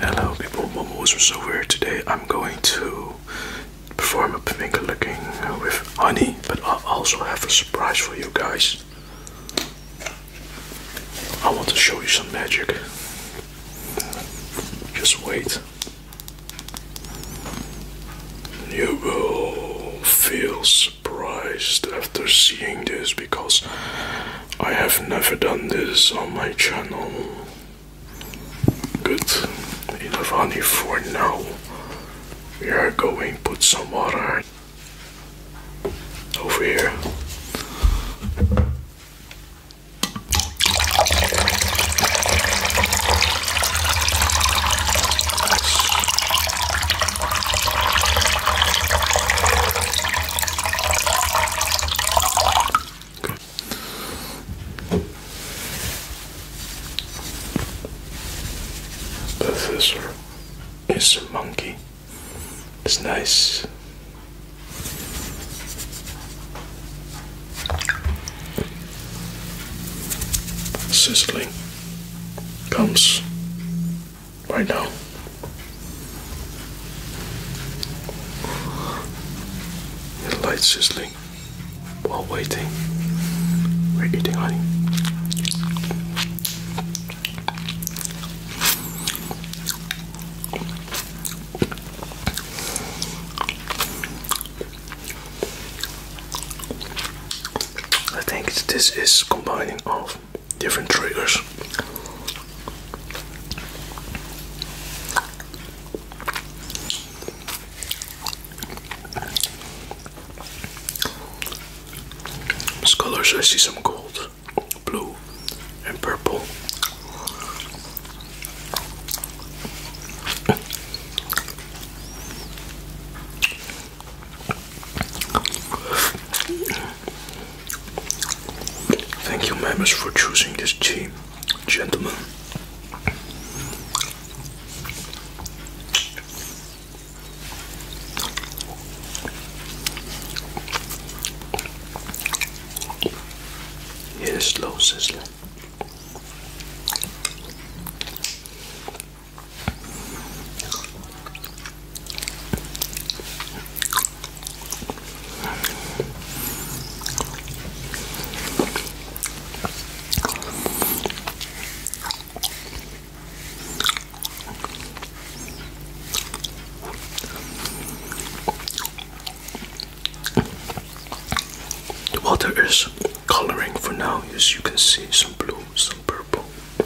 Hello people, Momos are so weird today. I'm going to perform a pink licking with honey, but I also have a surprise for you guys. I want to show you some magic. Just wait. You will feel surprised after seeing this because I have never done this on my channel. Good, enough honey for now. We are going put some water over here. Good. The a monkey. It's nice. Sizzling comes right now. The light's sizzling while waiting. We're eating honey. I think this is combining of different triggers. These colors, I see some gold, blue, and purple. Thank you, members, for choosing this team, gentlemen. It is slow the water is coloring for now, as you can see, some blue, some purple.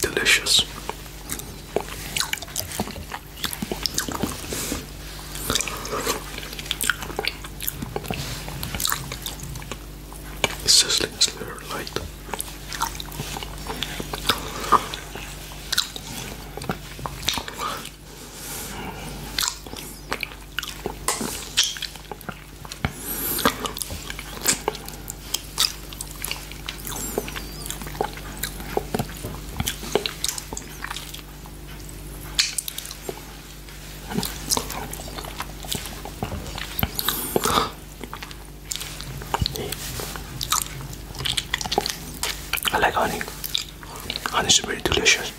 Delicious. Sizzling is very light. I like honey and it's very delicious.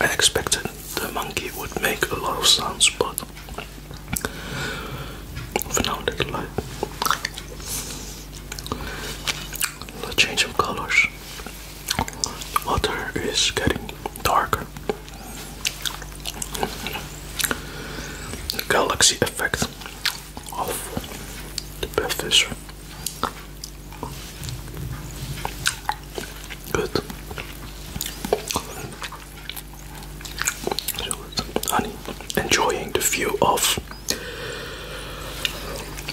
I expected the monkey would make a lot of sounds, but for now, little light. The change of colors. The water is getting darker the galaxy effect of the bevfish. Good. honey, enjoying the view of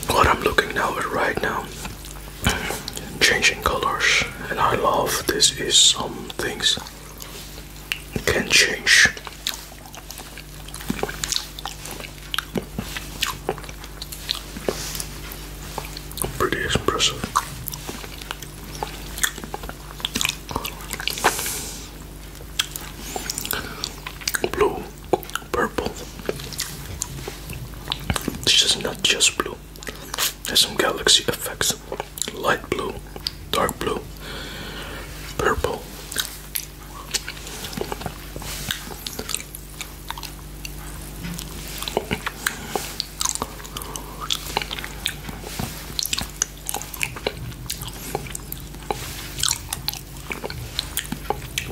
what I'm looking now at right now. Changing colors, and I love this. Is some things can change. Pretty impressive. Blue, purple. This is not just blue. There's some galaxy effects. Light blue, dark blue, purple.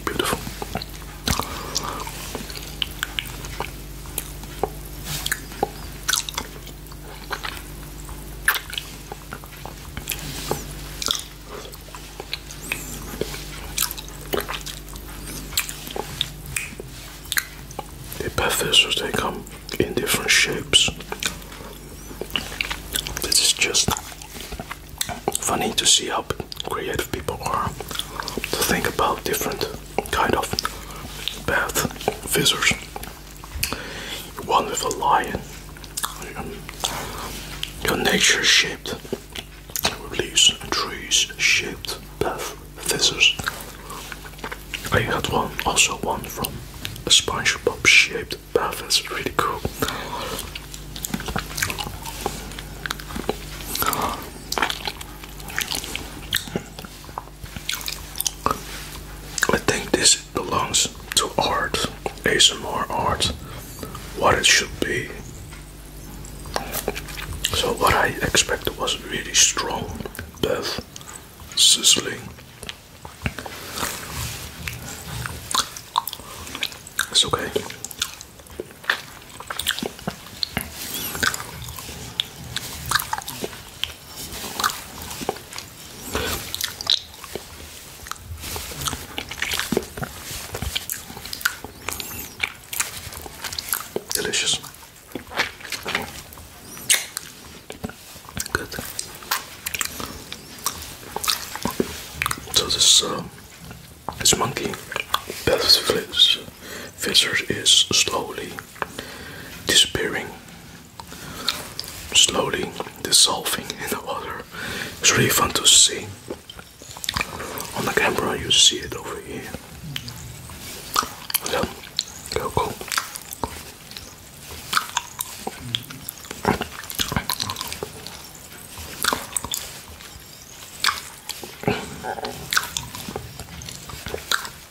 Beautiful. The pastels they come in different shapes. This is just funny to see how creative people are to think about different kind of bath fizzers. One with a lion. Um, your nature shaped leaves and trees shaped path scissors. I had one also one from a SpongeBob shaped bath. That's really cool. I think this belongs to art, ASMR art, what it should be. So what I expected was really strong death, sizzling. It's okay. Delicious. Good. So this uh, this monkey, Beth Fisher, is slowly disappearing, slowly dissolving in the water. It's really fun to see. On the camera, you see it over here. So, go,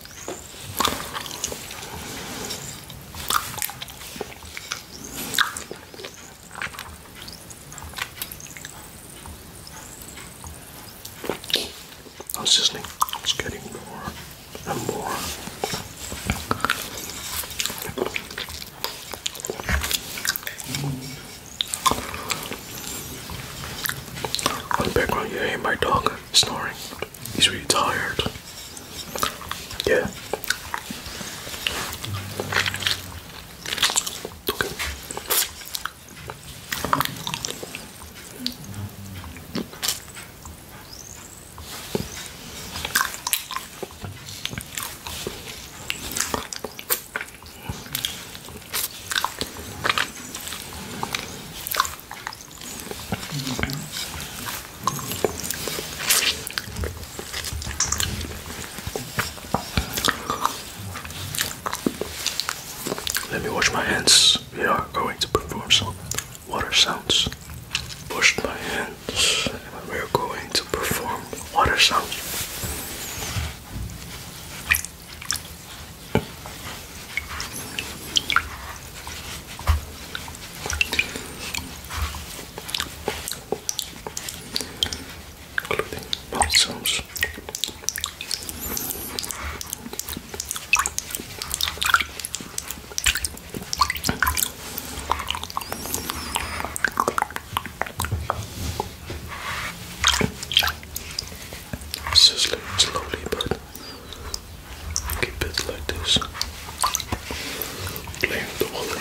I am listening, I getting more and more. On the background, you hear my dog snoring. He's really tired. Yeah. Okay. Let me wash my hands. We are going to perform some water sounds. Washed my hands, and we are going to perform water sounds including mouth Sizzling slowly but keep it like this. Laying the water.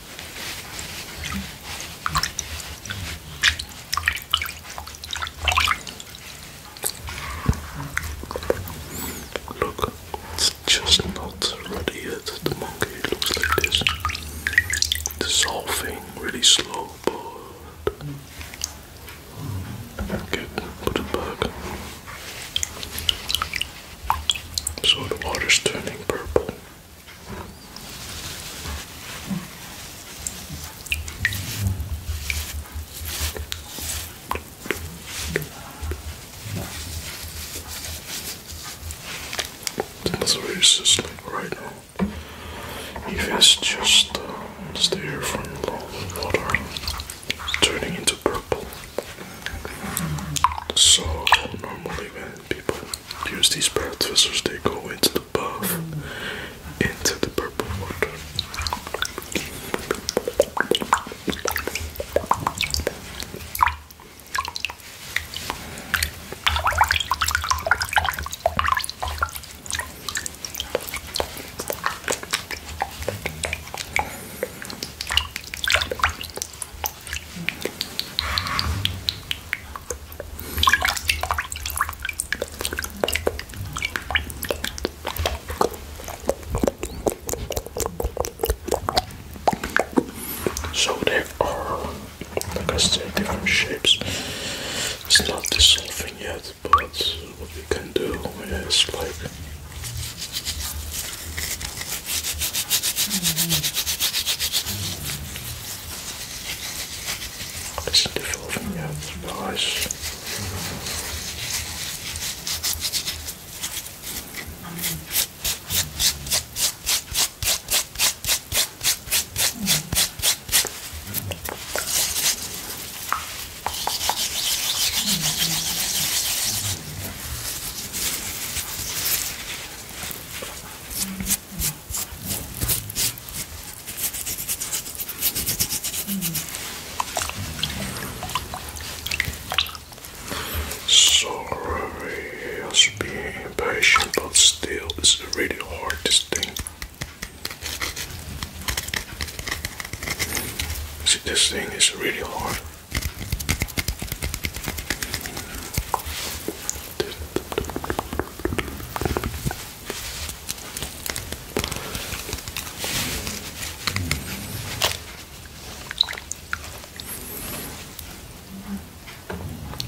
Look, it's just not ready yet. The monkey looks like this. Dissolving really slow, okay, put it back. So the water's turning purple. That's where it's just like right now. If it's uh, just the air from the water turning into purple. So normally when people use these processors, they go into the buff, into the purple water. So there are, like I said, there are shapes. It's not dissolving yet, but what we can do is like it's the forefinger, nice. Mm -hmm. Sorry, I was being impatient, but still, it's really hard this thing. See, this thing is really hard.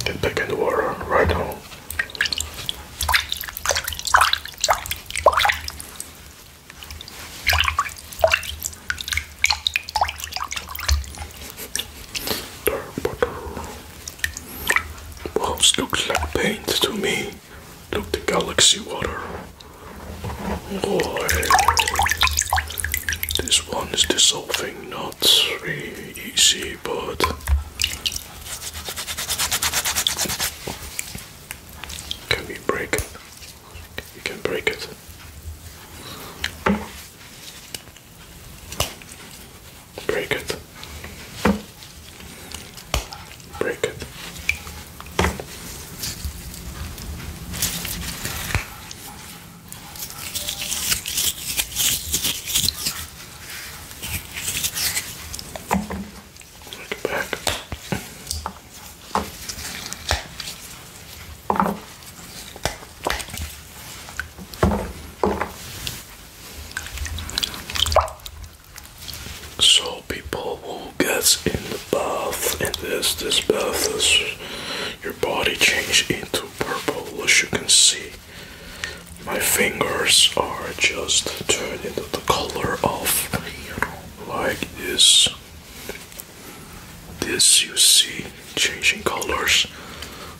Get back in the water right now. Dark water. Walls looks like paint to me. Look the galaxy water. This one is dissolving, not really easy, but can we break it? You can break it. Break it. Break it. Look back. So people who gets in the bath in this this bath is your body change into purple as you can see my fingers are just turning to the color of like this this you see changing colors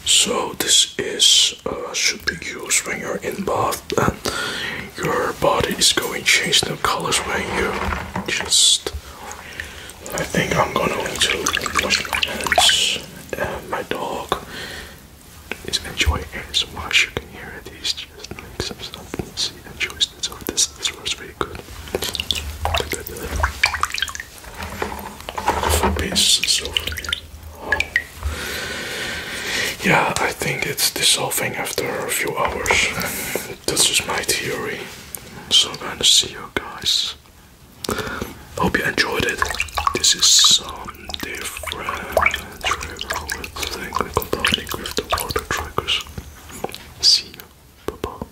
so this is uh, should be used when you're in bath and your body is going to change the colors when you just I think I'm gonna need to wash my hands and my dog is enjoying it so much you can hear it he's just making some stuff and see the it so this this was very good for pins so Yeah, I think it's dissolving after a few hours. That's just my theory. So I'm gonna see you guys. Hope you enjoyed it. This is some different See you. Bye bye.